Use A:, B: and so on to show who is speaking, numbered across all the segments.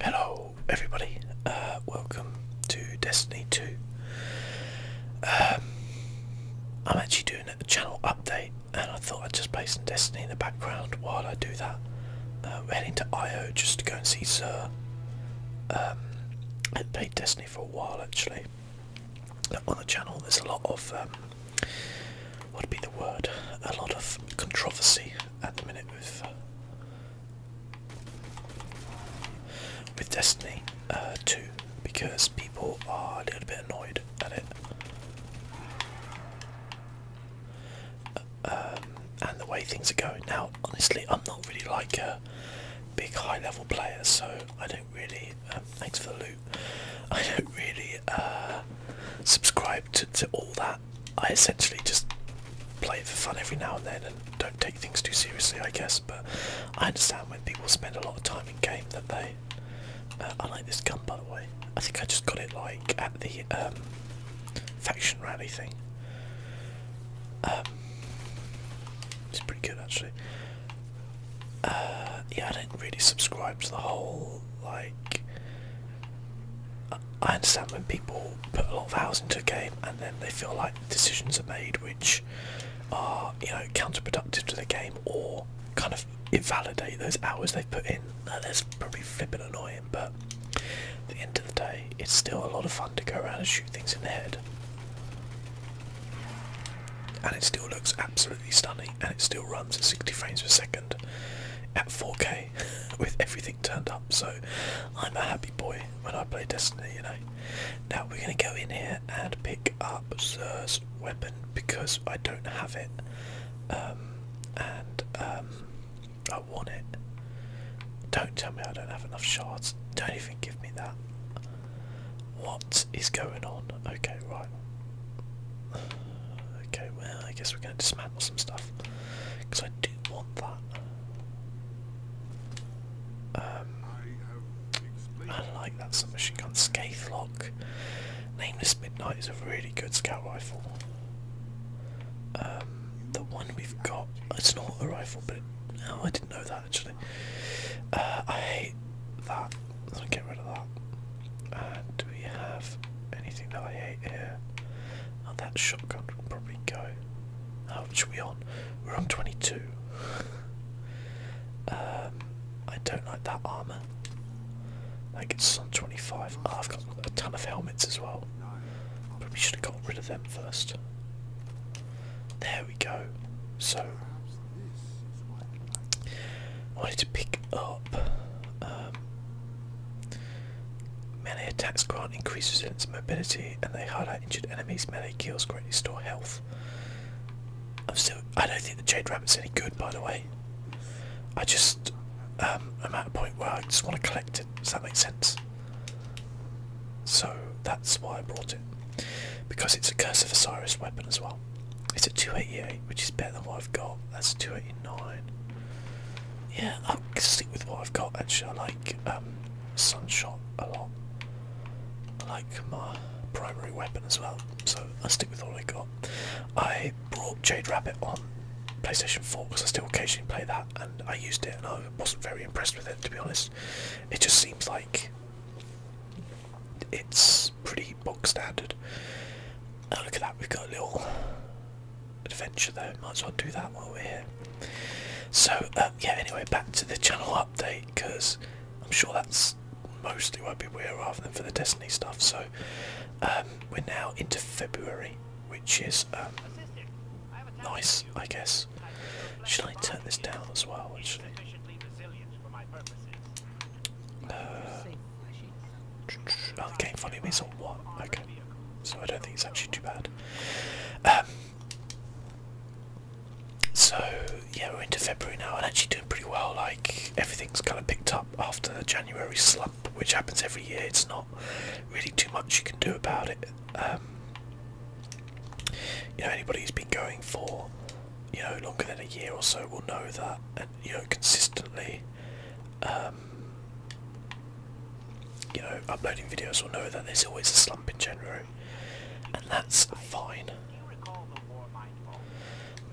A: Hello, everybody. Uh, welcome to Destiny 2. Um, I'm actually doing a channel update, and I thought I'd just play some Destiny in the background while I do that. we're um, heading to IO just to go and see Sir. Um, I played Destiny for a while actually. On the channel, there's a lot of um, what'd be the word? A lot of controversy at the minute with uh, with Destiny uh, 2 because people are a little bit annoyed at it. Uh, um, and the way things are going now, honestly, I'm not really like a big high-level player, so I don't really. Um, thanks for the loot. I don't really uh, subscribe to, all that. I essentially just play it for fun every now and then and don't take things too seriously, I guess. But I understand when people spend a lot of time in game that they. Uh, I like this gun, by the way. I think I just got it like at the um, faction rally thing. Um, it's pretty good actually. Uh, yeah, I do not really subscribe to the whole like I understand when people put a lot of hours into a game and then they feel like decisions are made which are, you know, counterproductive to the game or kind of invalidate those hours they've put in. that's probably flipping annoying, but at the end of the day, it's still a lot of fun to go around and shoot things in the head. And it still looks absolutely stunning and it still runs at 60 frames per second at 4K with everything turned up, so I'm a happy boy when I play Destiny, you know. Now we're gonna go in here and pick up Zer's weapon because I don't have it, um, and um, I want it. Don't tell me I don't have enough shards. Don't even give me that. What is going on? Okay, right. Okay, well, I guess we're going to dismantle some stuff because I do want that. Um, I like that submachine gun. Scathe lock. Nameless Midnight is a really good scout rifle. Um, the one we've got, it's not a rifle, but no, oh, I didn't know that actually. Uh, I hate that. Let's get rid of that. Uh, do we have anything that I hate here? Oh, that shotgun will probably go. How much are we on? We're on 22. um, I don't like that armour. I think it's 25. Ah, I've got a ton of helmets as well. Probably should have got rid of them first. There we go. So, I wanted to pick up um, Many attacks grant increased resistance mobility and they highlight injured enemies. Many kills greatly restore health. i still I don't think the Jade Rabbit's any good by the way. I just um, I'm at a point where I just want to collect it. Does that make sense? So that's why I brought it. Because it's a Curse of Osiris weapon as well. It's a 288 which is better than what I've got. That's 289. Yeah, I'll stick with what I've got actually. I like um, Sunshot a lot. I like my primary weapon as well, so I'll stick with what I got. I brought Jade Rabbit on PlayStation 4 because I still occasionally play that and I used it and I wasn't very impressed with it to be honest. It just seems like it's pretty bog standard. look at that, we've got a little adventure though. Might as well do that while we're here. So uh, yeah, anyway, back to the channel update because I'm sure that's mostly what people here rather than for the Destiny stuff. So um, we're now into February, which is um, nice, I guess. Should I turn this down as well? Actually? Oh, the game volume is on what? Okay, so I don't think it's actually too bad. Um, so yeah, we're into February now, and actually doing pretty well. Like everything's kind of picked up after the January slump, which happens every year. It's not really too much you can do about it. Um, you know, anybody who's been going for you know longer than a year or so will know that, you know consistently. Um, um, you know, uploading videos will know that there's always a slump in January, and that's fine.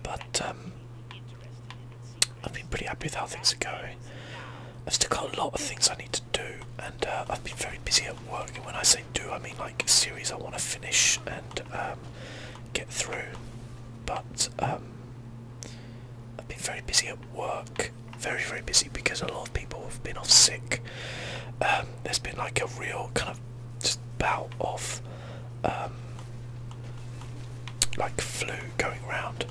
A: But um, I've been pretty happy with how things are going. I've still got a lot of things I need to do, and uh, I've been very busy at work. And when I say do, I mean like series I want to finish and um, get through. But I've been very busy at work, very very busy because a lot of people have been off sick. Um, there's been like a real kind of just bout of um, like flu going around,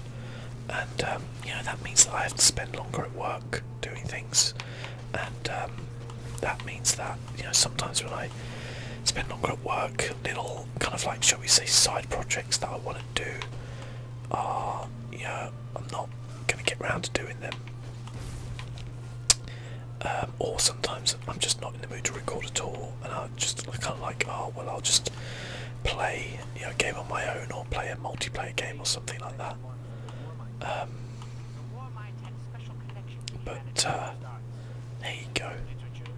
A: and um, you know that means that I have to spend longer at work doing things, and that means that you know sometimes when I spend longer at work, little kind of like shall we say side projects that I want do are, you I'm not going to get round to doing them. Um, or sometimes I'm just not in the mood to record at all, and I just kind of like, oh well, I'll just play you know, a game on my own or play a multiplayer game or something like that. Um, but uh, there you go.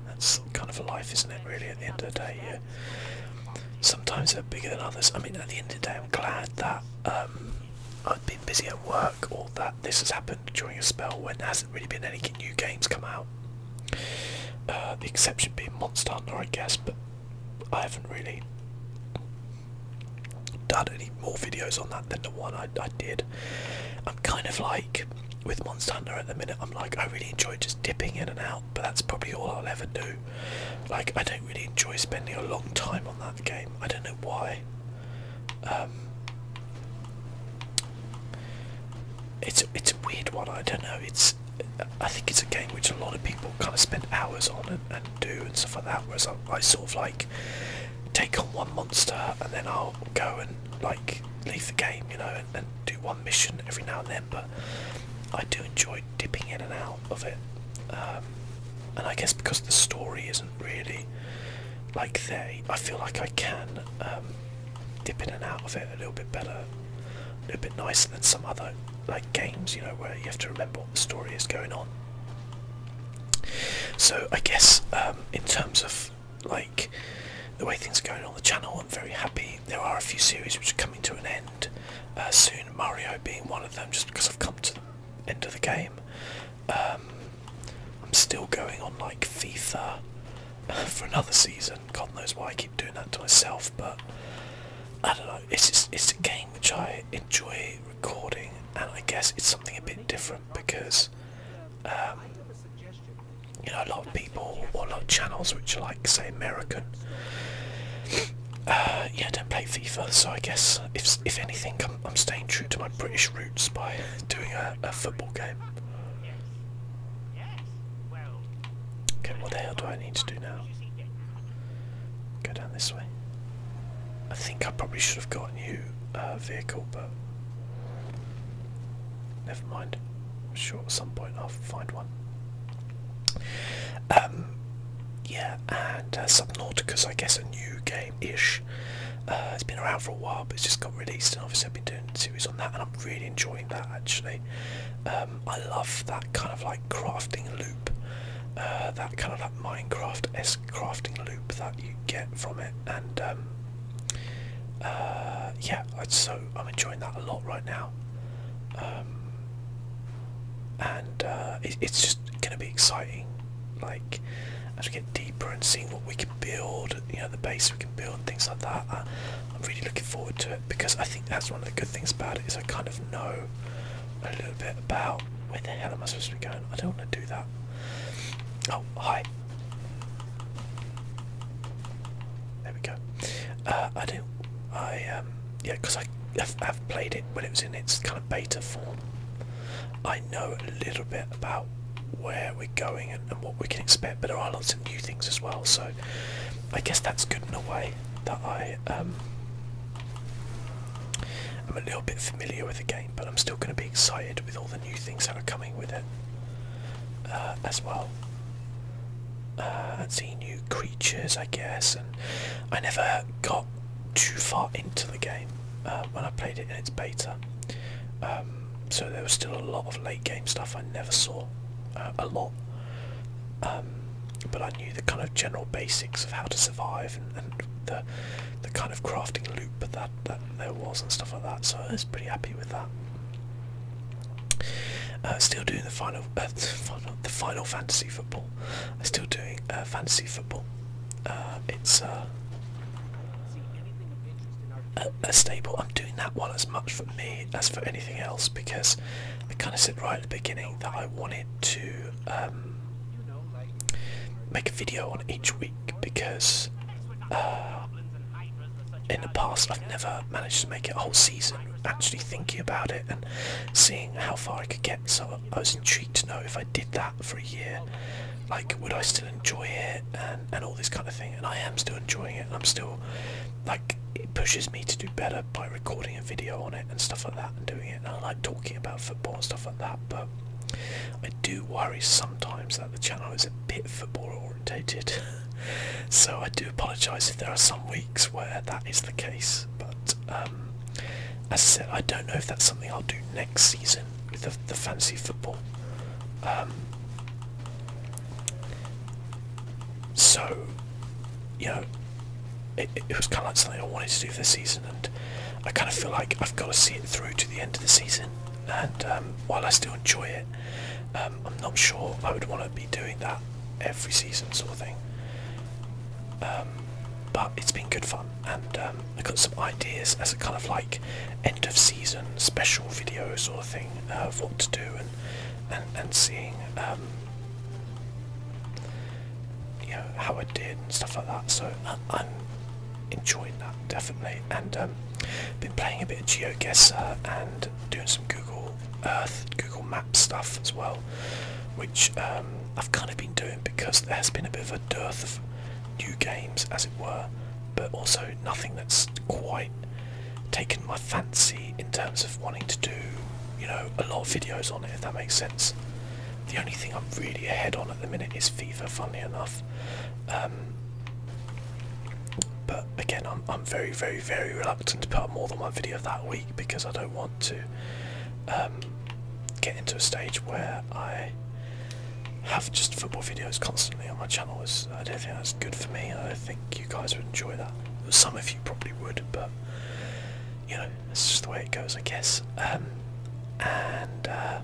A: That's kind of a life, isn't it? Really, at the end of the day, yeah. Sometimes they're bigger than others. I mean, at the end of the day, I'm glad that um, I've been busy at work or that this has happened during a spell when there hasn't really been any new games come out. Uh, the exception being Monster Hunter, I guess, but I haven't really done any more videos on that than the one I, I did. I'm kind of like with Monster Hunter at the minute. I'm like, I really enjoy just dipping in and out but that's probably all I'll ever do. Like, I don't really enjoy spending a long time on that game. I don't know why. Um,
B: it's it's a weird one. I don't know. It's I think it's a game which a lot of people kind of spend
A: hours on and, do and stuff like that. Whereas I, I sort of like take on one monster and then I'll go and like leave the game, you know, and, and do one mission every now and then. But I do enjoy dipping in and out of it. Um, and I guess because the story isn't really like they, I feel like I can um, dip in and out of it a little bit better, a little bit nicer than some other like games, you know, where you have to remember what the story is going on. So I guess um, in terms of like the way things are going on the channel I'm very happy. There are a few series which are coming to an end uh, soon, Mario being one of them, just because I've come to the end of the game. Um, I'm still going on like FIFA for another season. God knows why I keep doing that to myself, but I don't know. It's it's a game which I enjoy recording, and I guess it's something a bit different because um, you know a lot of people or a lot of channels which are like say American. Uh, yeah, don't play FIFA, so I guess if if anything, I'm, I'm staying true to my British roots by doing a, a football game. Okay, what the hell do I need to do now? Go down this way. I think I probably should have got a new uh, vehicle, but never mind sure at some point I'll find one. Um, yeah, and uh, Subnautica's, I guess, a new game-ish. Uh, it's been around for a while, but it's just got released, and obviously I've been doing a series on that, and I'm really enjoying that, actually. Um, I love that kind of, like, crafting loop, uh, that kind of, like, Minecraft-esque crafting loop that you get from it, and um, uh, yeah, so I'm enjoying that a lot right now, um, and uh, it's just going to be exciting. Like as we get deeper and seeing what we can build, you know, the base we can build, things like that. I, uh, I'm really looking forward to it because I think that's one of the good things about it is I kind of know a little bit about where the hell am I supposed to be going. I don't want to do that. Oh hi. There we go. Uh, I do. I um, yeah, because I have, have played it when it was in its kind of beta form. I know a little bit about where we're going and, what we can expect, but there are lots of new things as well. So I guess that's good in a way that I um, I'm a little bit familiar with the game, but I'm still going to be excited with all the new things that are coming with it. Uh, as well. Uh, and see new creatures, I guess. And I never got too far into the game uh, when I played it in its beta. Um, so there was still a lot of late game stuff I never saw uh, a lot. Um, but I knew the kind of general basics of how to survive and, and the the kind of crafting loop that, that there was and stuff like that. So I was pretty happy with that. Uh, still doing uh, the final, the final fantasy football. I'm still doing uh, fantasy football. it's a, stable. I'm doing that one as much for me as for anything else because I kind of said right at the beginning that I wanted to um, make a video on each week because in the past I've never managed to make it a whole season actually thinking about it and seeing how far I could get so I was intrigued to know if I did that for a year like would I still enjoy it and, and all this kind of thing and I am still enjoying it and I'm still like it pushes me to do better by recording a video on it and stuff like that and doing it and I like talking about football and stuff like that but I do worry sometimes that the channel is a bit football orientated. so I do apologise if there are some weeks where that is the case. But um, as I said, I don't know if that's something I'll do next season with the, fancy football. Um, so, you know, it, was kind of like something I wanted to do this season, and I kind of feel like I've got to see it through to the end of the season. And um, while I still enjoy it, um, I'm not sure I would want to be doing that every season, sort of thing. Um, but it's been good fun, and um, I got some ideas as a kind of like end of season special video sort of thing uh, of what to do and and seeing you know how I did and stuff like that. So I, am enjoying that definitely, and been playing a bit of GeoGuessr and doing some Google
B: Earth Google Maps stuff as well, which um, I've kind of been doing because there has been a bit of a dearth of new games, as it were, but also nothing that's quite taken my fancy in terms of wanting to do, you know,
A: a lot of videos on it, if that makes sense. The only thing I'm really ahead on at the minute is FIFA, funnily enough. Um, but again, I'm, very, very, very reluctant to put up more than one video that week because I don't want to um, get into a stage where I have just football videos constantly on my channel. I don't think that's good for me. I think you guys would enjoy that. Some of you probably would, but you know, it's just the way it goes, I guess. Um, and uh,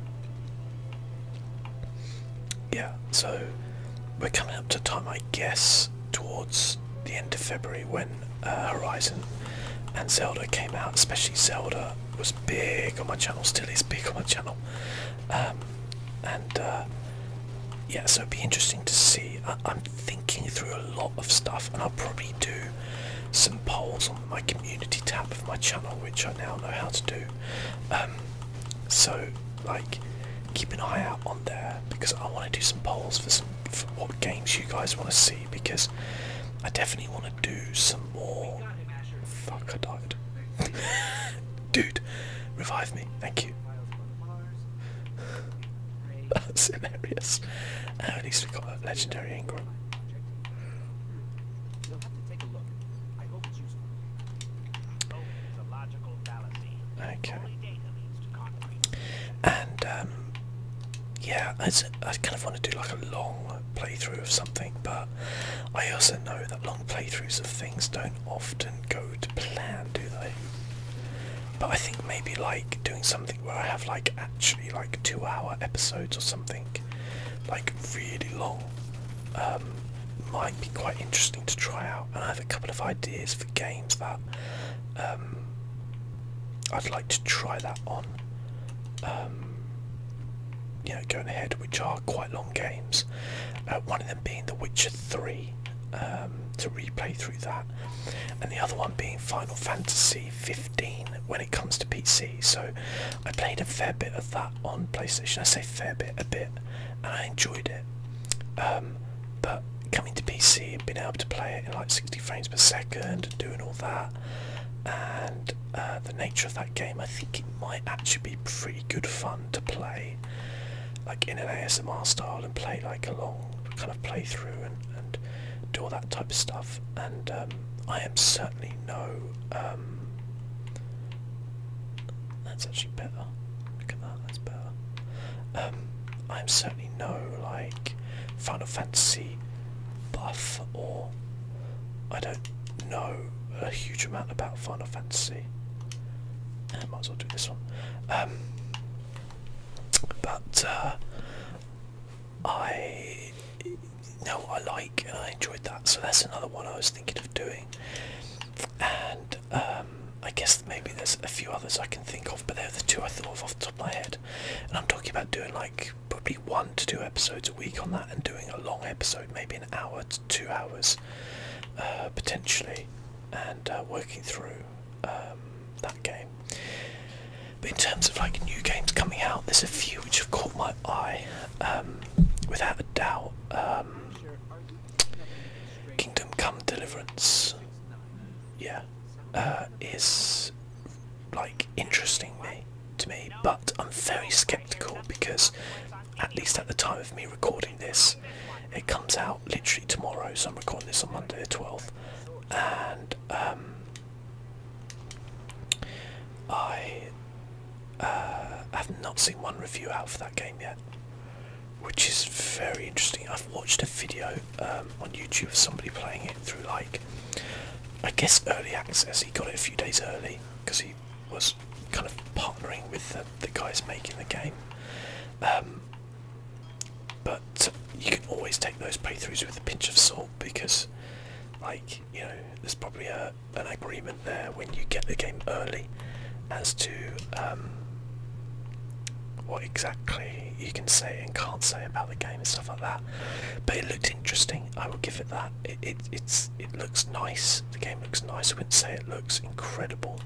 A: yeah, so we're coming up to time, I guess, towards the end of February when uh, Horizon and Zelda came out, especially Zelda was big on my channel, still is big on my channel. Um, and uh, yeah, so it'd be interesting to see. I am thinking through a lot of stuff, and I'll probably do some polls on
B: my community tab of my channel, which I now know how to do. Um, so,
A: like, keep an eye out on there because I want to do some polls for some what games you guys want to see because I definitely want to do some more. Fuck, I died. Dude, revive me. Thank you. That's hilarious. at least we got a legendary Ingram. Okay. And um, yeah, I kind of want to do like a long playthrough of something, but I also know that long playthroughs of things don't often go to plan, do they? But I think maybe like doing something where I have like actually like two hour episodes or something, like really long, um, might be quite interesting to try out. And I have a couple of ideas for games that um, I'd like to try that on. Um, going ahead, which are quite long games. Uh, one of them being The Witcher 3 um, to replay through that, and the other one being Final Fantasy 15 when it comes to PC. So I played a fair bit of that on PlayStation. I say fair bit, a bit, and I enjoyed it. Um, but coming to PC, and being able to play it in like 60 frames per second, and doing all that, and uh, the nature of that game, I think it might actually be pretty good fun to play, like in an ASMR style, and play like a long kind of playthrough and, and do all that type of stuff. And um, I am certainly no um, that's actually better. Look at that, that's better. Um, I'm certainly no like Final Fantasy buff, or I don't know a huge amount about Final Fantasy. I eh, might as well do this one. Um, but uh, I know what I like and I enjoyed that, so that's another one I was thinking of doing. And um, I guess maybe there's a few others I can think of, but they're the two I thought of off the top of my head. And I'm talking about doing like probably one to two episodes a week on that, and doing a long episode, maybe an hour to two hours, uh, potentially, and uh, working through um, that game. But in terms of like new games coming out, there's a few which have caught my eye, um, without a doubt. Kingdom Come Deliverance, yeah, uh, is like interesting to me, but I'm very skeptical because at least at the time of me recording this, it comes out literally tomorrow. So I'm recording this on Monday the 12th, and um, I uh, have not seen one review out for that game yet which is very interesting. I've watched a video um, on YouTube of somebody playing it through like I guess early access. He got it a few days early because he was kind of partnering with the, guys making the
B: game. Um, but you can always take those playthroughs
A: with a pinch of salt because, like you know, there's probably a, an agreement there when you get the game early as to um, what exactly you can say and can't say about the game and stuff like that. But it looked interesting. I will give it that. It, it's it looks nice. The game looks nice. I wouldn't say it looks
B: incredible,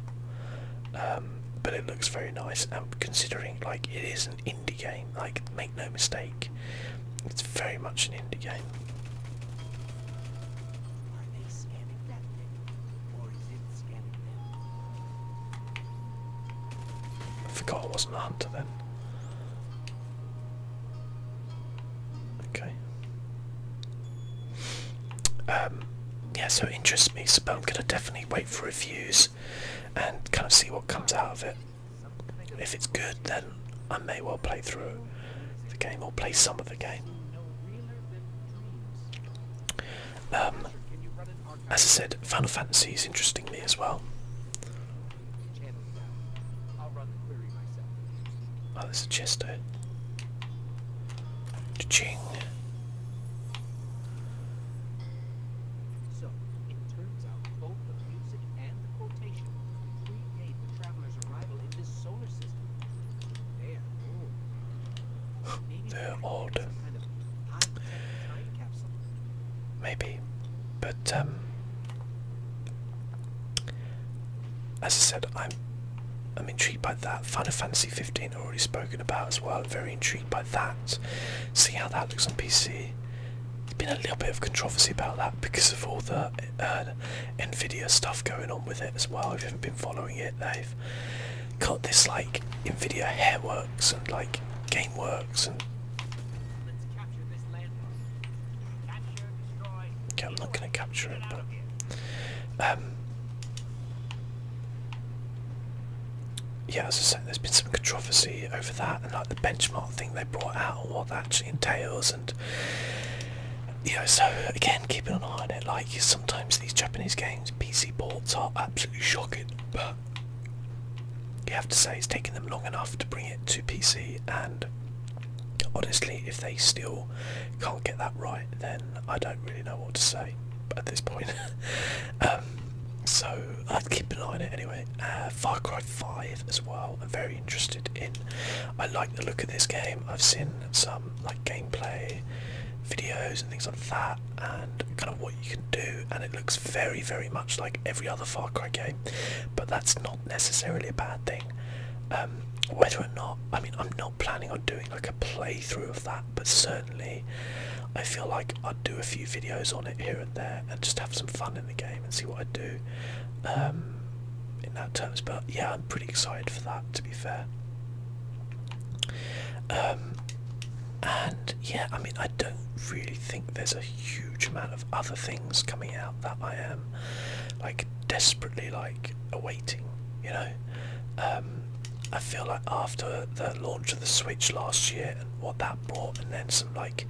B: um, but it looks very nice. And considering like it
A: is an indie game, like make no mistake, it's very much an indie game. I forgot I wasn't a hunter then. Okay. Um, yeah, so it interests me, so I'm gonna definitely wait for reviews and kind of see what comes out of it. If it's good, then I may well play through the game or play some of the game. Um, as I said, Final Fantasy is interesting me as well. Oh, there's a chest there. Cha-ching. So, it turns out both the music and the quotation predate the traveler's arrival in this solar system. They're old. Maybe. But, um, as I said, I'm I'm intrigued by that. Final Fantasy 15 already spoken about as well. Very intrigued by that. See how that looks on PC. There's been a little bit of controversy about that because of all the uh, Nvidia stuff going on with it as well. If you haven't been following it, they've life. Got this like Nvidia Hairworks and like GameWorks and. Okay, I'm not going to capture it, but. Um, yeah, as I said, there's been some controversy over that and like the benchmark thing they brought out and what that entails and you know so again keeping an eye on it like sometimes these Japanese games PC ports are absolutely shocking, but you have to say it's taken them long enough to bring it to PC. And honestly, if they still can't get that right, then I don't really know what to say at this point. Um, so I'd keep an eye on it anyway. Uh, Far Cry 5 as well. I'm very interested in. I like the look of this game. I've seen some like gameplay videos and things like that and kind of what you can do and it looks very very much like every other Far Cry game but that's not necessarily a bad thing um, whether or not I mean I'm not planning on doing like a playthrough of that but certainly I feel like I'd do a few videos on it here and there and just have some fun in the game and see what I do um, in that terms but yeah I'm pretty excited for that to be fair um, and yeah, I mean, I don't really think there's a huge amount of other things coming out that I am like desperately like awaiting. You know, um, I feel like after the launch of the Switch last year and what that brought, and then some like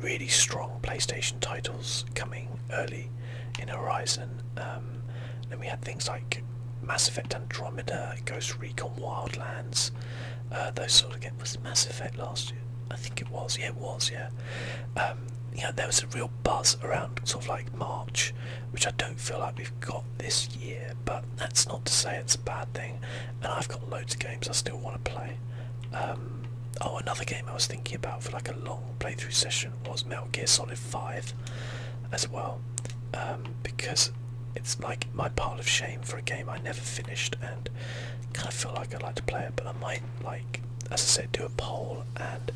A: really strong PlayStation titles coming early in Horizon. Um, then we had things like Mass Effect Andromeda, Ghost Recon Wildlands, uh, those sort of games. Was Mass Effect last year? I think it was. Yeah, it was. Yeah. Um, there was a real buzz around sort of like March, which I don't feel like we've got this year. But that's not to say it's a bad thing. And I've got loads of games I still want to play. Um, oh, another game I was thinking about for like a long
B: playthrough session was Metal Gear Solid 5 as well. Um, because it's like my pile of shame for a
A: game I never finished, and kind of feel like I'd like to play it, but I might like, as I said, do a poll and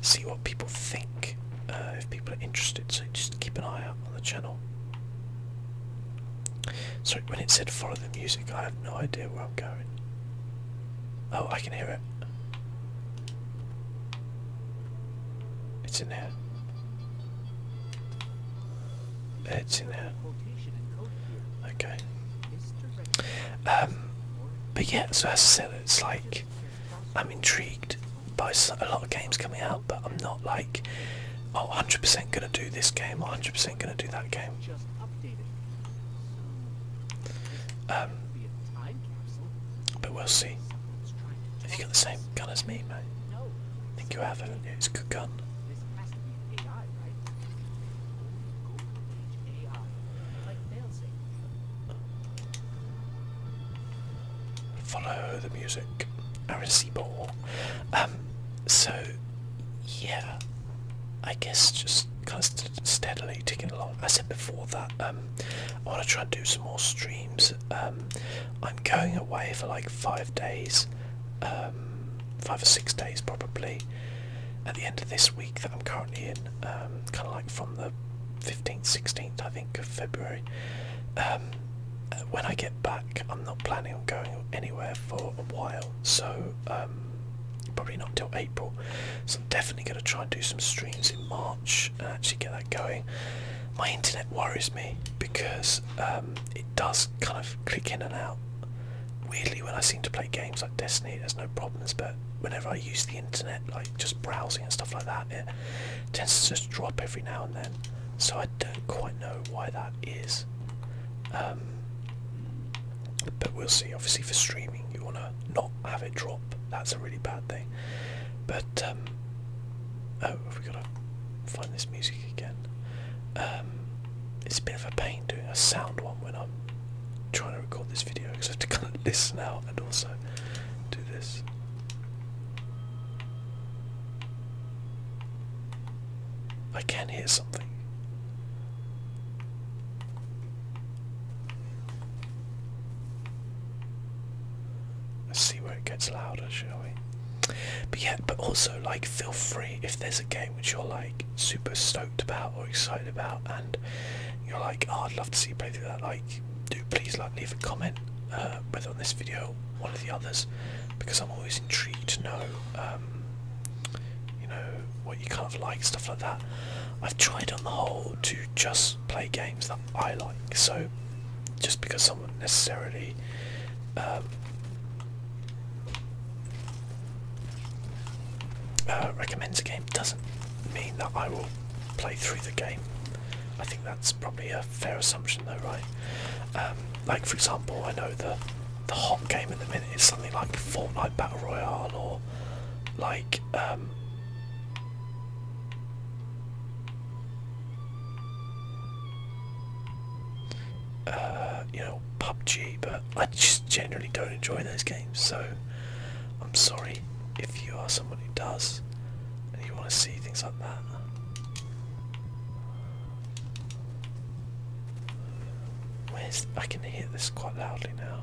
A: see what people think uh, if people are interested. So just keep an eye out on the channel. Sorry, when it said follow the music, I have no idea where I'm going. Oh, I can hear it. It's in there. It's in there. Okay. Um, but yeah, so as I said, it's like I'm intrigued by a lot of games coming out, but I'm not like, oh, 100% gonna do this game, 100% gonna do that game. Um, but we'll see. Have you got the same gun as me, mate? I think you have, have It's a good gun. Follow the music. Aaron Um, so, yeah. I guess just kind of st steadily ticking along. I said before that um, I want to try and do some more streams um, I'm going away for like five days, um, five or six days probably, at the end of this week that I'm currently in, um, kind of like from the 15th, 16th I think of February. when I get back, I'm not planning on going anywhere for a while, so probably not until April. So I'm definitely going to try and do some streams in March much actually get that going. My internet worries me because um, it does kind of click in and out. Weirdly, when I seem to play games like Destiny, there's no problems, but whenever I use the internet, like just browsing and stuff like that, it tends to just drop every now and then. So I don't quite know why that is. Um, but we'll see. Obviously, for streaming, you want to not have it drop. That's a really bad thing.
B: But um, oh, have we gotta find this music again? Um, it's a bit of a pain doing a sound one when I'm trying to record this
A: video because I have to kind of listen out and also do this. I can hear something. Let's see where it gets louder, shall we? But yeah, but also like feel free if there's a game which you're like super stoked about or excited about, and you're like, oh, I'd love to see you play through that. Like, do please like leave a comment, uh, whether on this video one of the others, because I'm always intrigued to know, um, you know, what you kind of like, stuff like that. I've tried on the whole to just play games that I like. So just because someone necessarily um, uh, recommends a game doesn't mean that I will play through the game. I think that's probably a fair assumption, though, right? Um, like for example, I know the the hot game at the minute is something like Fortnite Battle Royale or like um, uh, you know, PUBG, but I just generally don't enjoy those games. So I'm sorry if you are someone who does and you want to see things like that. I can hear this quite loudly now.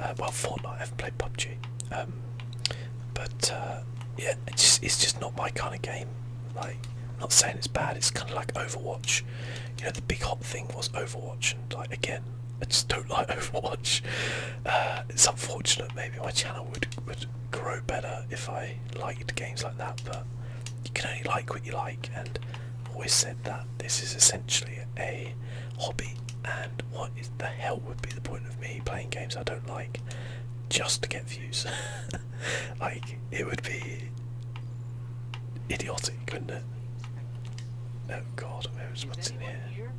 A: Uh, well, Fortnite. I've played PUBG, um, but uh, yeah, it's just, it's just not my kind of game.
B: Like, I'm not saying it's bad. It's kind of like Overwatch. You know, the big hot thing was
A: Overwatch, and like again, I just don't like Overwatch. Uh, it's unfortunate. Maybe my channel would would grow better if I liked games like that, but you can only like what you like, and I've always said that this is essentially a hobby and what the hell would be the point of me playing games I don't like just to get views like it would be idiotic wouldn't it oh god knows what's in here? here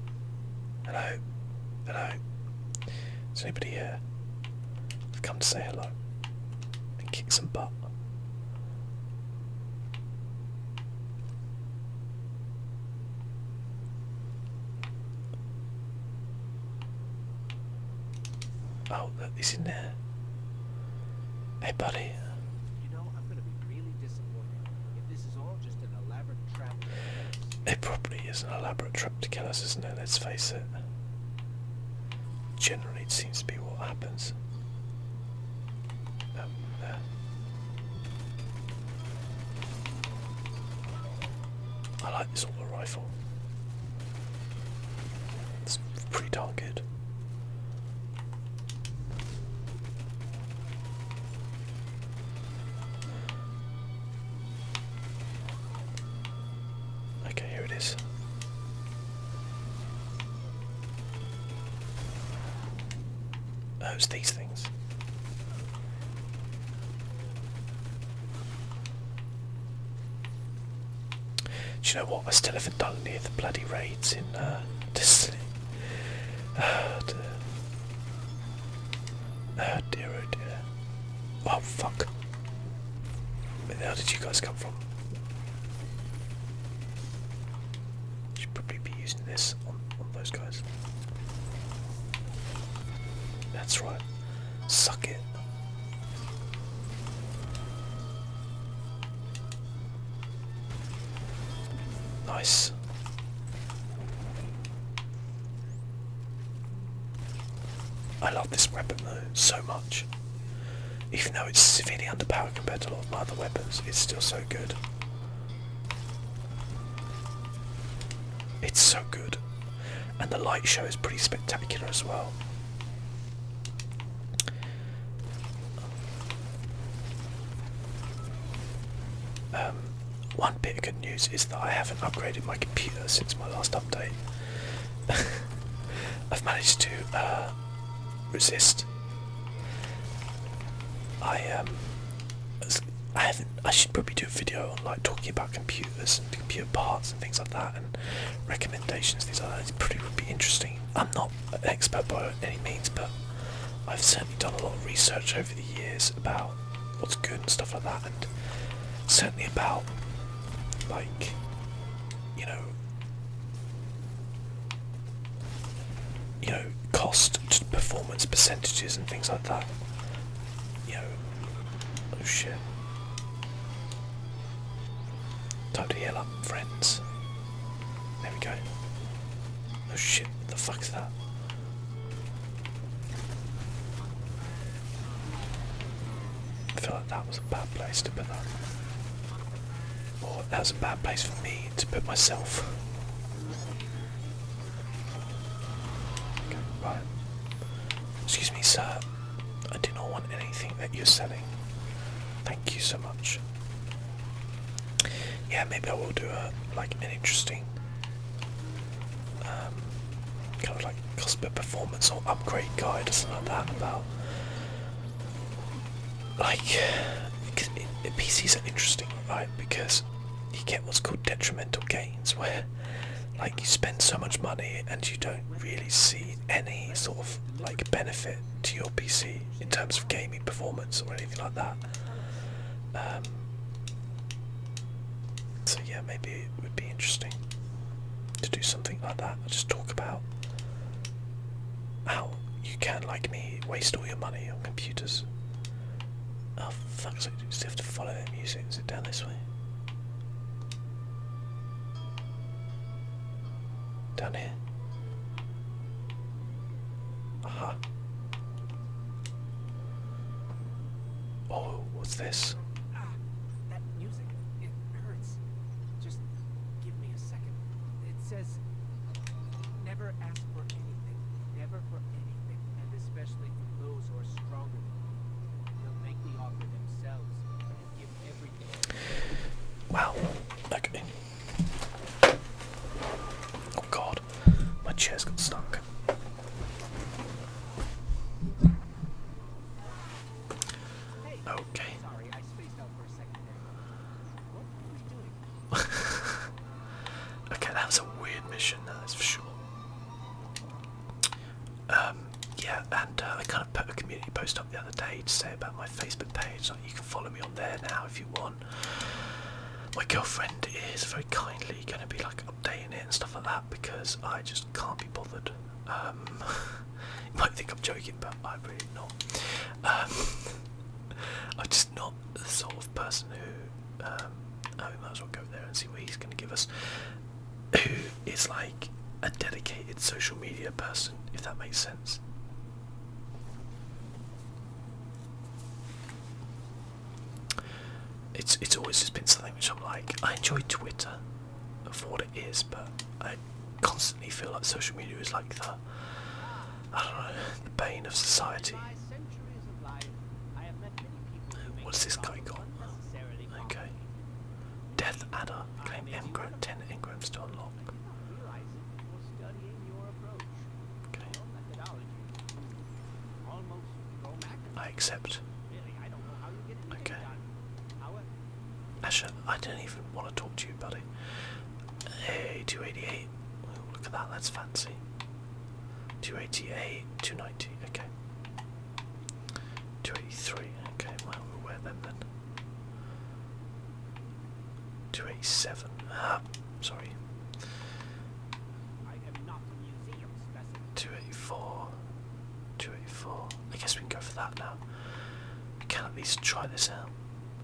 A: hello hello is anybody here I've come to say hello and kick some butt Oh, look, in there. Hey, buddy. You know, I'm gonna be really disappointed if this is all just an elaborate trap. It probably is an elaborate trap to kill us, isn't it? Let's face it. Generally, it seems to be what happens. Um, uh, I like this auto rifle. It's pretty darn good. Okay, here it is. Oh, Those these things. Do you know what? I still haven't done near the bloody raids in uh, Destiny. Oh dear. oh dear, oh dear. Oh fuck. Where the hell did you guys come from? Should probably be using this on, on those guys. That's right. Suck it. Nice. I love this weapon though so much. Even though it's severely underpowered compared to a lot of my other weapons, it's still so good. It's so good. And the light show is pretty spectacular as well. Um, one bit of good news is that I haven't upgraded my computer since my last update. I've managed to uh, resist. I um, I haven't. I should probably do a video on like talking about computers and computer parts and things like that, and recommendations. Things like pretty would be interesting. I'm not an expert by any means, but I've certainly done a lot of research over the years about what's good and stuff like that, and certainly about like you know you know, cost performance percentages and things like that. You know, oh shit. Time to heal up, friends. There we go. Oh shit, What the fuck's that? I feel like that was a bad place to put that. Or that was a bad place for me to put myself. Excuse me, sir. I do not want anything that you're selling. Thank you so much. Yeah, maybe I will do a like an interesting um, kind of like customer performance or upgrade guide or something like that about like it, it, PCs are interesting, right? Because you get what's called detrimental gains where like you spend so much money and you don't really see any sort of like benefit to your PC in terms of gaming performance or
B: anything like that. Um, so yeah,
A: maybe it would be interesting to do something like that. just talk about how you can, like me, waste all your money on computers. Oh fuck! So you still have to follow their music. Is it down this way? Down here. Aha. Oh, what's this? Ah,
B: that music. It hurts. Just
A: give me a second. It says, "Never ask for anything. Never for." Anything and especially from those who are stronger than you. They'll make the offer themselves and give everything. Wow. Okay. Oh god, my chest got stuck. Okay. okay, that was a weird mission, that's for sure.
B: Um, yeah, and uh, I kind of put a community post up the other day to say about my Facebook
A: page. Like, you can follow me on there now if you want. My girlfriend is very kindly going to be like updating it and stuff like that because I just can't be bothered. Um, you might think I'm joking, but I'm really not. Um, I'm just not the sort of person who um, we might as well go there and
B: see what he's going to give us. Who is like a dedicated social media person,
A: if that makes sense. It's it's always just been something which I'm like I enjoy Twitter for what it is, but I constantly feel like social media is like the I don't know the bane of society. What's this guy got? Okay. Death adder. Claim engram, ten engrams to unlock. Okay. I accept. Okay. Asher, I don't even want to talk to you, buddy. Hey, 288. look at that, that's fancy. 288, 290, okay. 283, okay, well, we'll wear them then. 287, ah, sorry. 284, 284, I guess we can go for that now. We can at least try this out.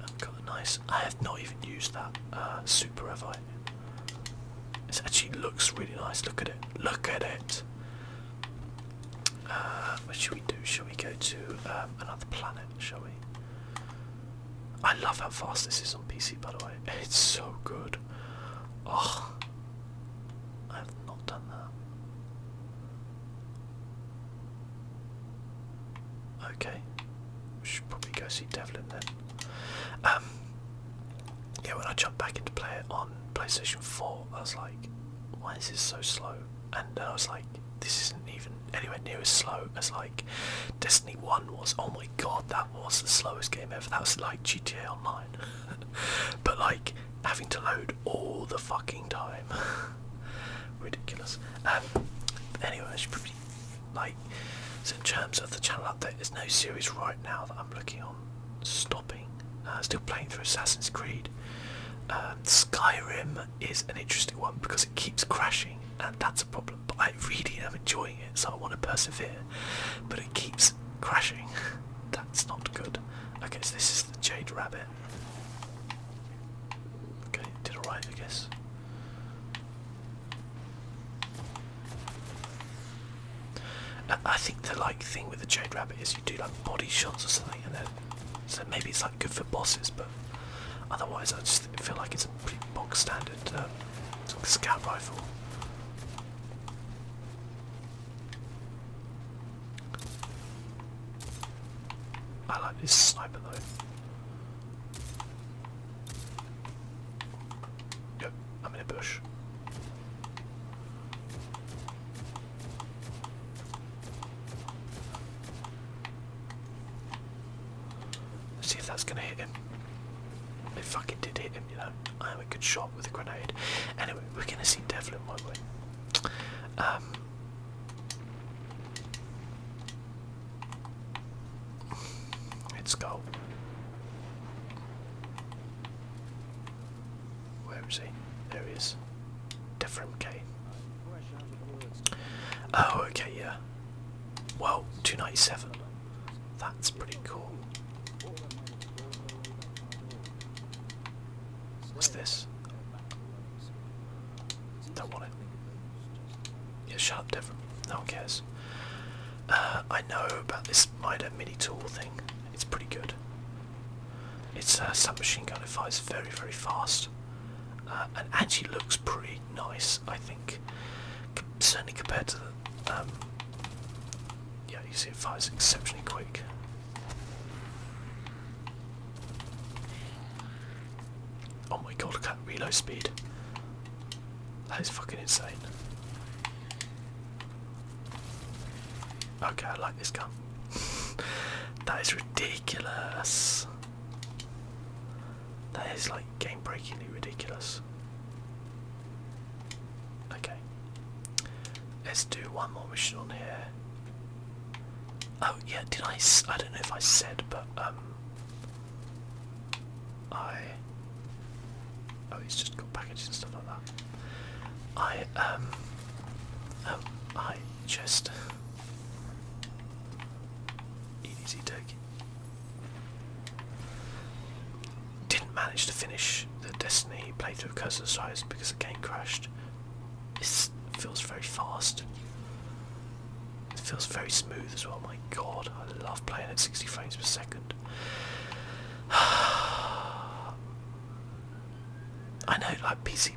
A: I've got a nice, I have not even used that uh, super, have I? It actually looks really nice. Look at it. Look at it. Uh, what should we do? Shall we go to um, another planet? Shall we? I love how fast this is on PC, by the way. It's so good. Oh, I have not done that. Okay, we should probably go see Devlin then. Um, yeah, when I jumped back into play on PlayStation 4, I was like, why is this so slow? And I was like, this isn't even anywhere near as slow as like Destiny 1 was. Oh my god, that was the slowest game ever. That was like GTA Online. but like, having to load all the fucking time. Ridiculous. Um, anyway, I should probably like, so in terms of the channel update, there's no series right now that I'm looking on stopping. Uh, still playing through Assassin's Creed. Um, Skyrim is an interesting one because it keeps crashing, and that's a problem. But I really am enjoying it, so I want to persevere. But it keeps crashing. that's not good. Okay, so this is the Jade Rabbit. Okay, did arrive, I guess. I think the like thing with the Jade Rabbit is you do like body shots or something, and then so maybe it's like good for bosses, but otherwise I just feel like it's a pretty box standard uh, scout rifle. I like this sniper though. Nope, I'm in a bush. see if that's gonna hit him. It fucking did hit him, you know. I am a good shot with a grenade. Anyway, we're gonna see Devlin, won't Let's go. Where is he? There he is. Different K. Oh, okay, yeah. Well, 297. That's pretty cool. What's this? Don't want it. Yeah, shut up, different. No one cares. Uh, I know about this MIDA mini tool thing. It's pretty good. It's a uh, submachine gun. It fires very, very fast, uh, and actually looks pretty nice. I think, certainly compared to um, yeah, you see, it fires exceptionally quick. Oh my god, look at reload speed. That is fucking insane. Okay, I like this gun. that is ridiculous. That is like game breakingly ridiculous. Okay. Let's do one more mission on here. Oh yeah, did I? I don't know if I said, but um, I oh he's just got packages and stuff like that. I um um I just easy turkey. Didn't manage to finish the Destiny playthrough of Curse of because the game crashed. It feels very fast. It feels very smooth as well. My God, I love playing at 60 frames per second. I know, like PC,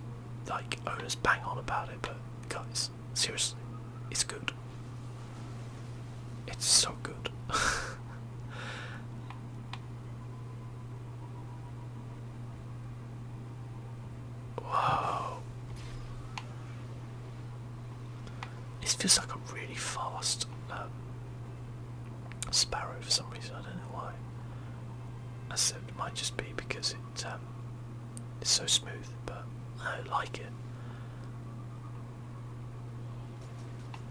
A: like owners bang on about it, but guys, seriously, it's good. It's so good. Whoa. This feels like a really fast um, sparrow for some reason. I don't know why. I said it might just be because um, it's so smooth, but I like it.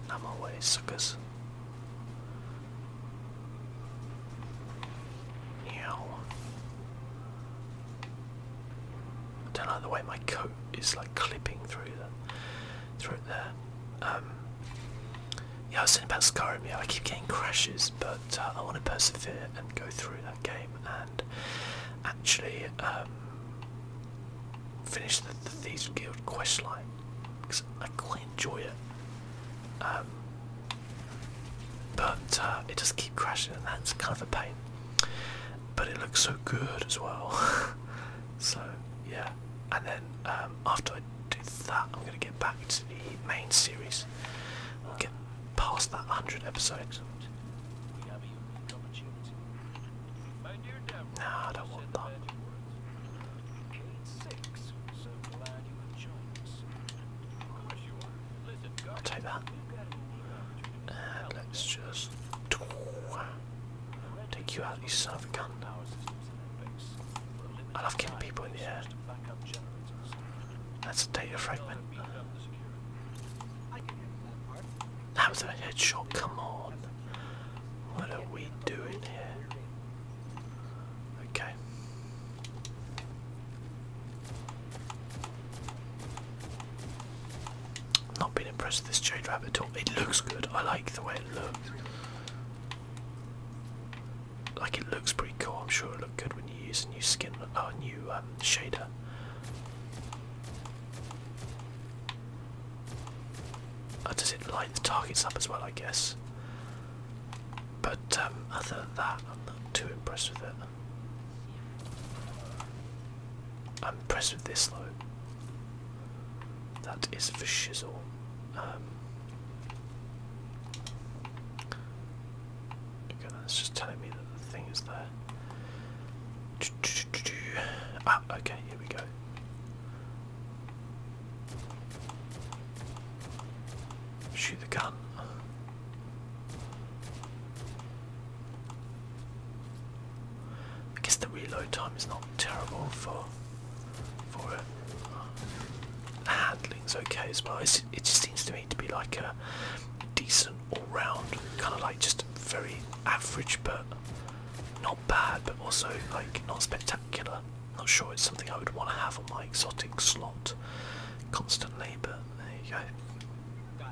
A: I'm away, suckers. Meow. I don't like the way my coat is like clipping through the through there. Um, yeah, I was saying about Skyrim. Yeah, I keep getting crashes, but uh, I want to persevere and go through that game and actually um, finish the, the Thieves Guild quest line because I quite enjoy it. Um, but uh, it just keep crashing, and that's kind of a pain but it looks so good as well. so yeah, and then um, after I do that, I'm gonna get back to the main series. I'll get past that hundred episodes. Nah, I don't want that. I'll take that. Uh, let's just take you out, you son of a gun. I love killing people in the air. That's a data fragment.
B: That was a headshot,
A: come on. What are we doing here? Okay. Not been impressed with this jade rabbit at all. It looks good. I like the way it looks. Like it looks pretty cool. I'm sure it look good when you use a new skin, or uh, a new um, shader. Uh, does it light the targets up as well? I guess. But um, other than that, I'm not too impressed with it. I'm pressed with this load. That is for shizzle. Um, okay, that's just telling me that the thing is there.
B: Ah, okay, here we go. Shoot the gun.
A: I guess the reload time is not terrible for for it. The uh, handling's okay as well. it just seems to me to be like a
B: decent all-round, kind of like just very average, but not bad, but also
A: like not spectacular. Not sure it's something I would want to have on my exotic slot constantly, but there you go.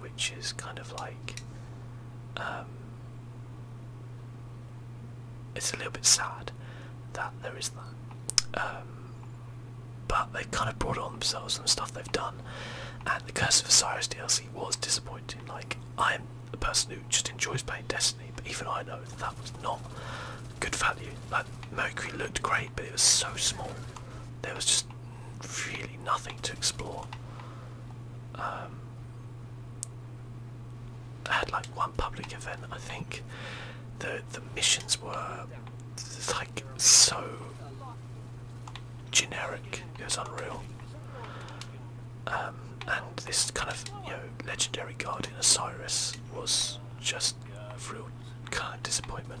A: which is kind of like um, it's a little bit sad that there is that. Um, but they kind of brought it on themselves and stuff they've done. And the Curse of Osiris DLC was disappointing. Like, I'm a person who just enjoys playing Destiny, but even I know that that was not good value. Like, Mercury looked great, but it was so small. There was just really nothing to explore. Um, I had like one public event. I think the the missions were like so generic. It was unreal. Um, and this kind of you know legendary guardian Osiris was just a real kind of disappointment.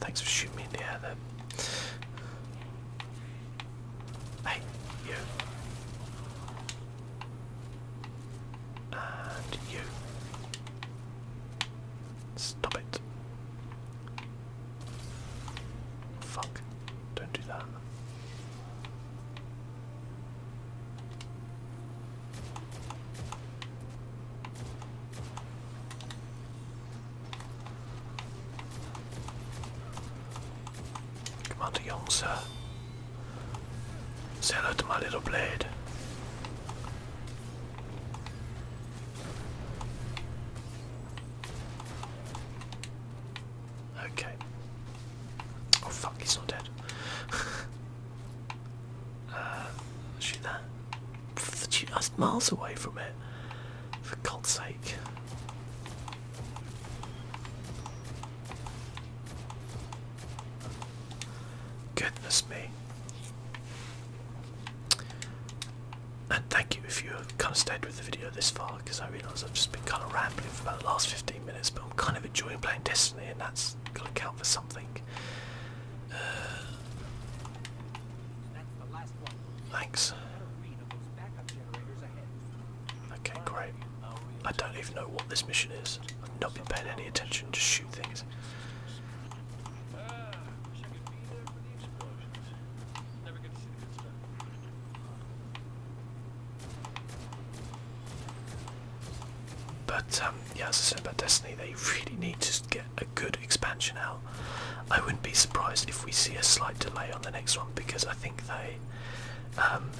A: Thanks for shooting me in the head. then. Hey,
B: you. And you. Stop it.
A: Fuck. Don't do that. Commander Young, sir. Say hello my little blade. Okay. Oh fuck, he's not dead. Uh, shoot that. Shoot, that's miles away from it. For God's sake. Goodness me. And thank you if you have kind of stayed with the video this far, because I realise I've just been kind of rambling for about the last 15 minutes, but I'm kind of enjoying playing Destiny, and that's has got to count for something. Uh, Thanks. Okay, great. I don't even know what this mission is. I've not been paying any attention, just shoot things. But um, yeah, as I said about Destiny, they really need to get a good expansion out. I wouldn't be surprised if we see a slight delay on the next one because I think they um,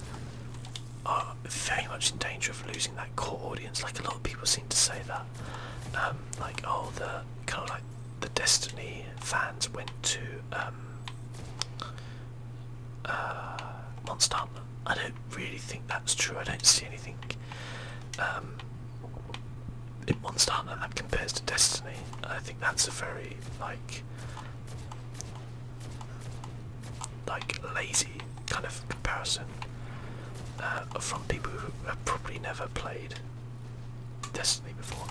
A: are very much in danger of losing that core audience. Like a lot of people seem to say that, um, like oh, the kind of like the Destiny fans went to um, uh, Monster. I don't really think that's true. I don't see anything um, in one star, that compares to Destiny. I think that's a very like like lazy kind of comparison
B: uh, from people who have probably never played Destiny
A: before.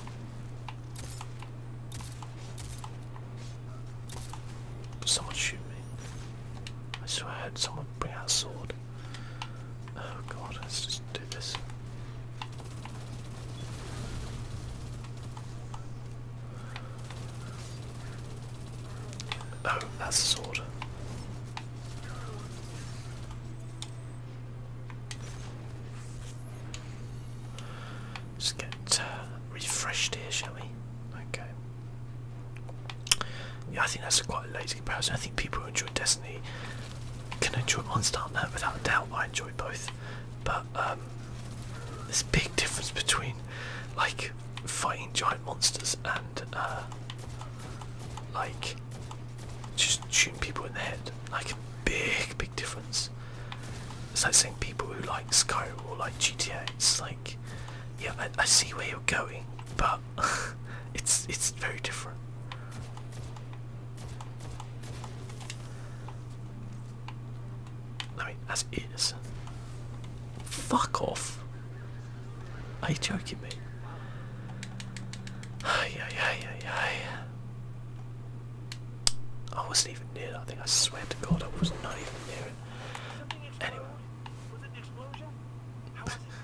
A: Someone shoot
B: me. I swear I heard someone bring out a sword. Oh god, let's just do this.
A: Oh, that's a sword. Just get uh, refreshed here, shall we? Okay. Yeah, I think that's a quite a lazy comparison. I think people who enjoy Destiny can enjoy one Star Net without a doubt. I enjoy both, but um, there's a big difference between like fighting giant monsters and uh, like just shooting people in the head. Like big, big difference. It's like saying people who like Skyrim or like GTA. It's like, yeah, I, I see where you're going, but it's it's very different. I mean, as it is. Fuck off. Are you joking me? Ay, ay, ay, ay, ay. I wasn't even near I think I swear to God, I was not even near it. Anyway. it?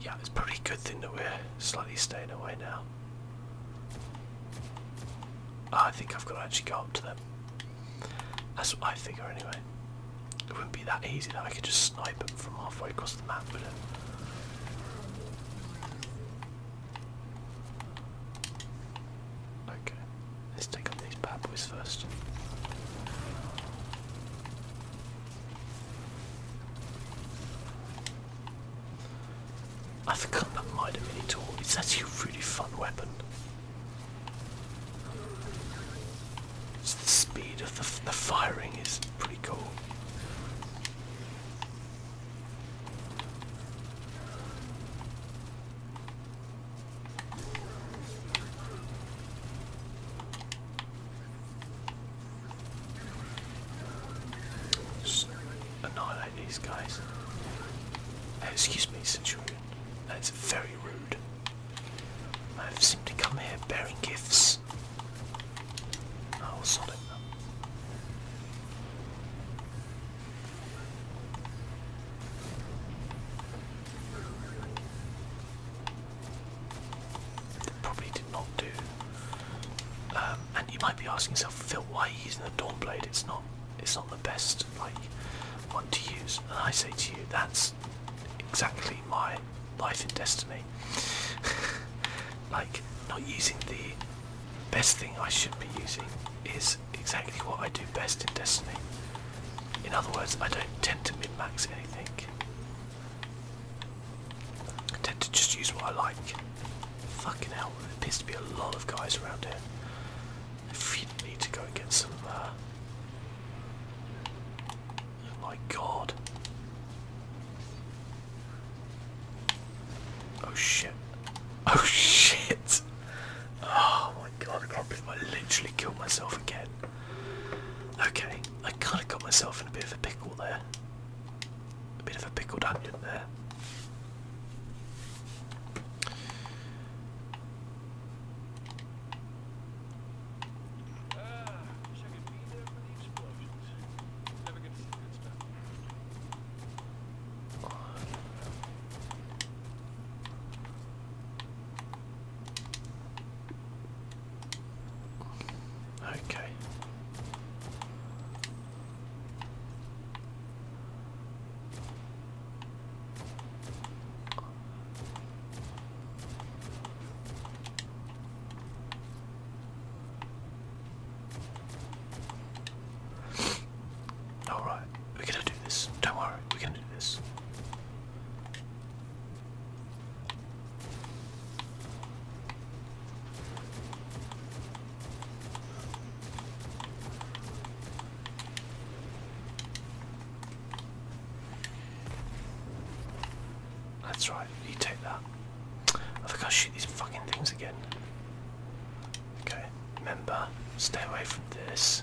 A: Yeah, it's probably a good thing that we're slightly staying away now. Ah, I think I've got to actually go up to them. That's what I figure anyway. It wouldn't be that easy that I could just snipe them from halfway across the map, would it? Okay. Let's take up these bad boys first. I forgot that Mitre Mini Tool. It's actually a really fun weapon. the speed of the, the firing is pretty cool annihilate these guys. Uh, excuse me, Centurion. That's very rude. I have seemed to come here bearing gifts. Oh, sod it probably did not do. Um, and you might be asking yourself, Phil, why he's using the Dawnblade? It's not, it's not the best like one to use. And I say to you, that's exactly my life in Destiny. like not using the best thing I should be using is exactly what I do best in Destiny. In other words, I don't tend to mid max anything, I tend to just use what I like. Fucking hell, there appears to be a lot of guys around here. If you need to go and get some. Uh... Oh my god. Oh shit. Oh shit. Oh my god, I can't believe I literally killed myself again. Okay, I kind of got myself in a bit of a pickle there. A bit of a pickled onion there. Okay. All right, we're gonna do this. Don't worry, we're gonna do this. That's right, you take that. I think I'll shoot these fucking things again. Okay, remember, stay away from this.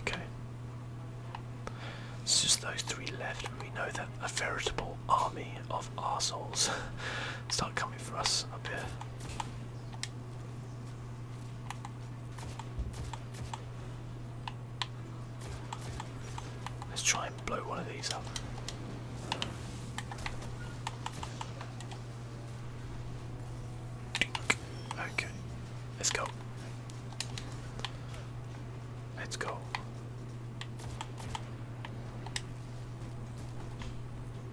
A: Okay. It's just those three left, and we know that a veritable army of arseholes start coming for us up here. Let's try and blow one of these up. Okay, let's go. Let's go.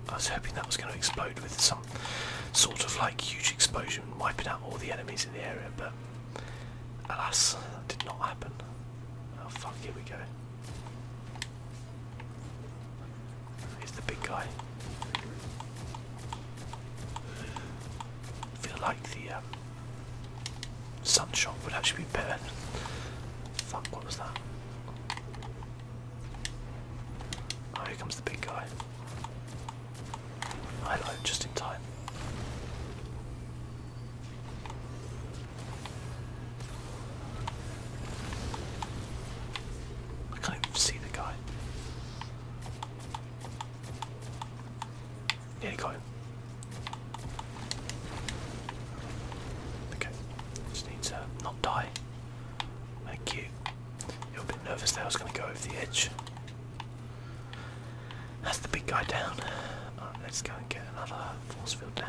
A: I was hoping that was going to explode with some sort of like huge explosion, wiping out all the enemies in the area, but alas, that did not happen. Oh fuck, here we go. Here's the big guy. I feel like the um, sun shot would actually be better. Fuck, what was that? Oh, here comes the big guy. I just in time. I can't even see the guy. Yeah, he got Okay, just need not die. Thank you. You're a bit nervous there, I was going to go over the edge. That's the big guy down. let's go and get another force field down.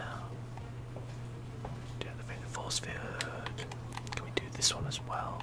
A: Deactivate the force field. Can we do this one as well?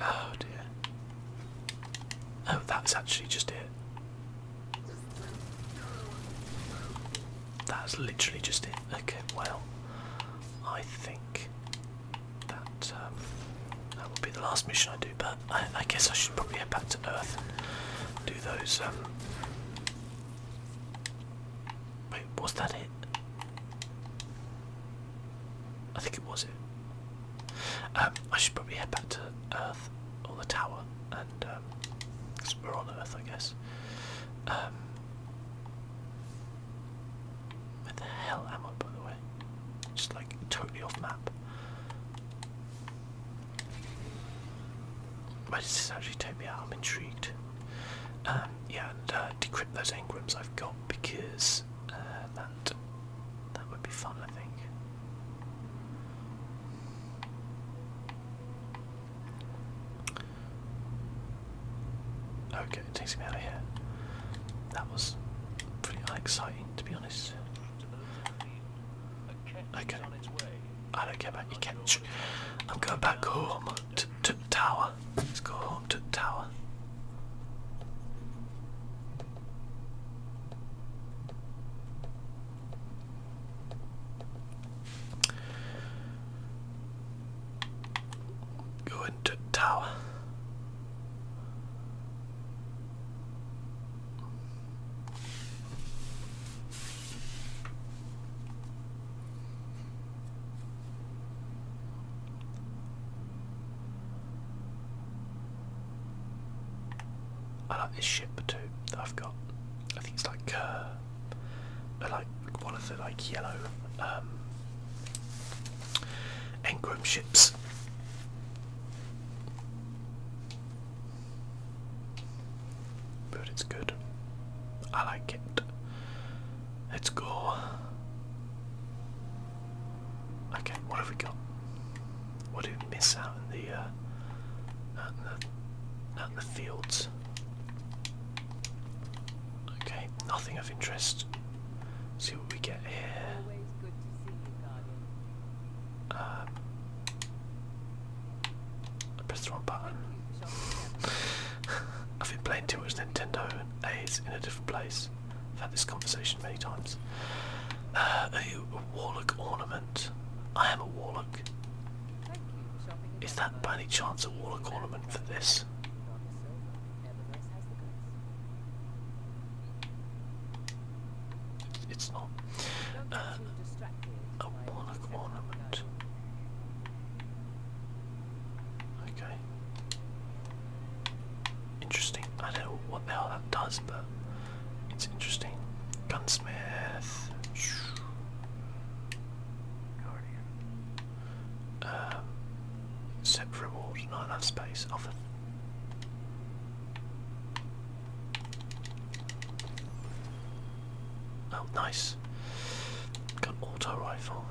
A: Oh dear. Oh, that's actually just it. That's literally just it. Okay, well, I think that um, that will be the last mission I do. But I, guess I should probably head back to Earth, do those um, was that it? I think it was it. Um, I should probably head back to Earth or the tower, and um, cause we're on Earth, I guess. Um, where the hell am I, by the way? Just like totally off map. Why does this actually take me out? I'm intrigued. Um, yeah, and uh, decrypt those engrams I've got because uh, that that would be fun, I think. Okay, it takes me out of here. That was pretty exciting, to be honest. Okay. I don't care about you catch. I'm going back home to, the tower. Let's go home to tower. Go into the tower. I like this ship too that I've got. I think it's like uh, like one of the like yellow um, ships but it's good. I like it. Let's go. Okay, what have we got? What did we miss out in the uh, in the in the fields? Okay, nothing of interest. See what we get here. I pressed the wrong button. I've been playing too much Nintendo A is in a different place. I've had this conversation many times. Uh, a warlock ornament. I am a warlock. Is that by any chance a warlock ornament for this? It's not. Uh, a warlock ornament. Okay. Interesting. I don't know what the hell that does, but it's interesting. Gunsmith. Guardian. Um, set reward. Not enough space. Often. Oh, nice. Got auto rifle,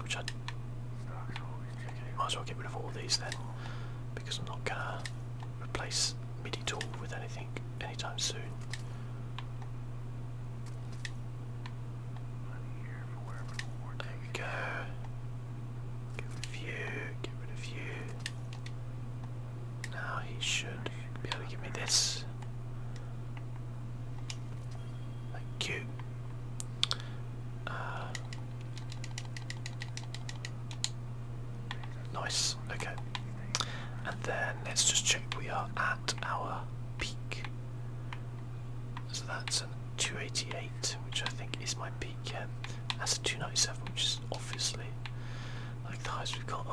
A: which I might as well get rid of all these then, because I'm not gonna replace MIDI tool with anything anytime soon. There we go. Get rid of you. Get rid of now he should be able to give me this. Thank you. Uh, nice, okay. And then let's just check we are at our peak. So that's a 288, which I think is my peak. Yeah. That's a 297, which is obviously like the highest we've got.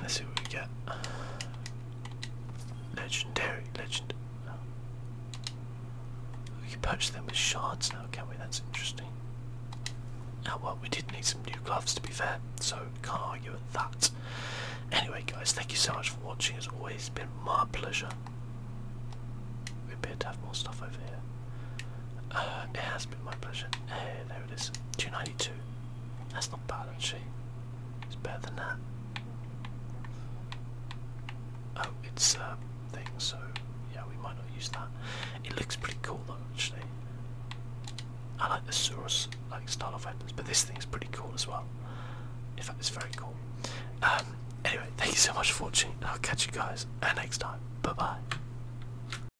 A: Let's see what we get. Legendary, legend. We can punch them with shards now, can we? That's interesting. Now, well, we did need some new gloves to be fair, so can't argue with that. Anyway, guys, thank you so much for watching. It's always been my pleasure. We appear to have more stuff over here. Uh, it has been my pleasure. Hey, there it is. Do you that's not bad actually. It's better than that. Oh, it's a uh, thing, so yeah, we might not use that. It looks pretty cool though, actually. I like the Surus like style of weapons, but this thing's pretty cool as well. In fact, it's very cool. Um, anyway, thank you so much for watching. I'll catch you guys uh, next time. Bye bye.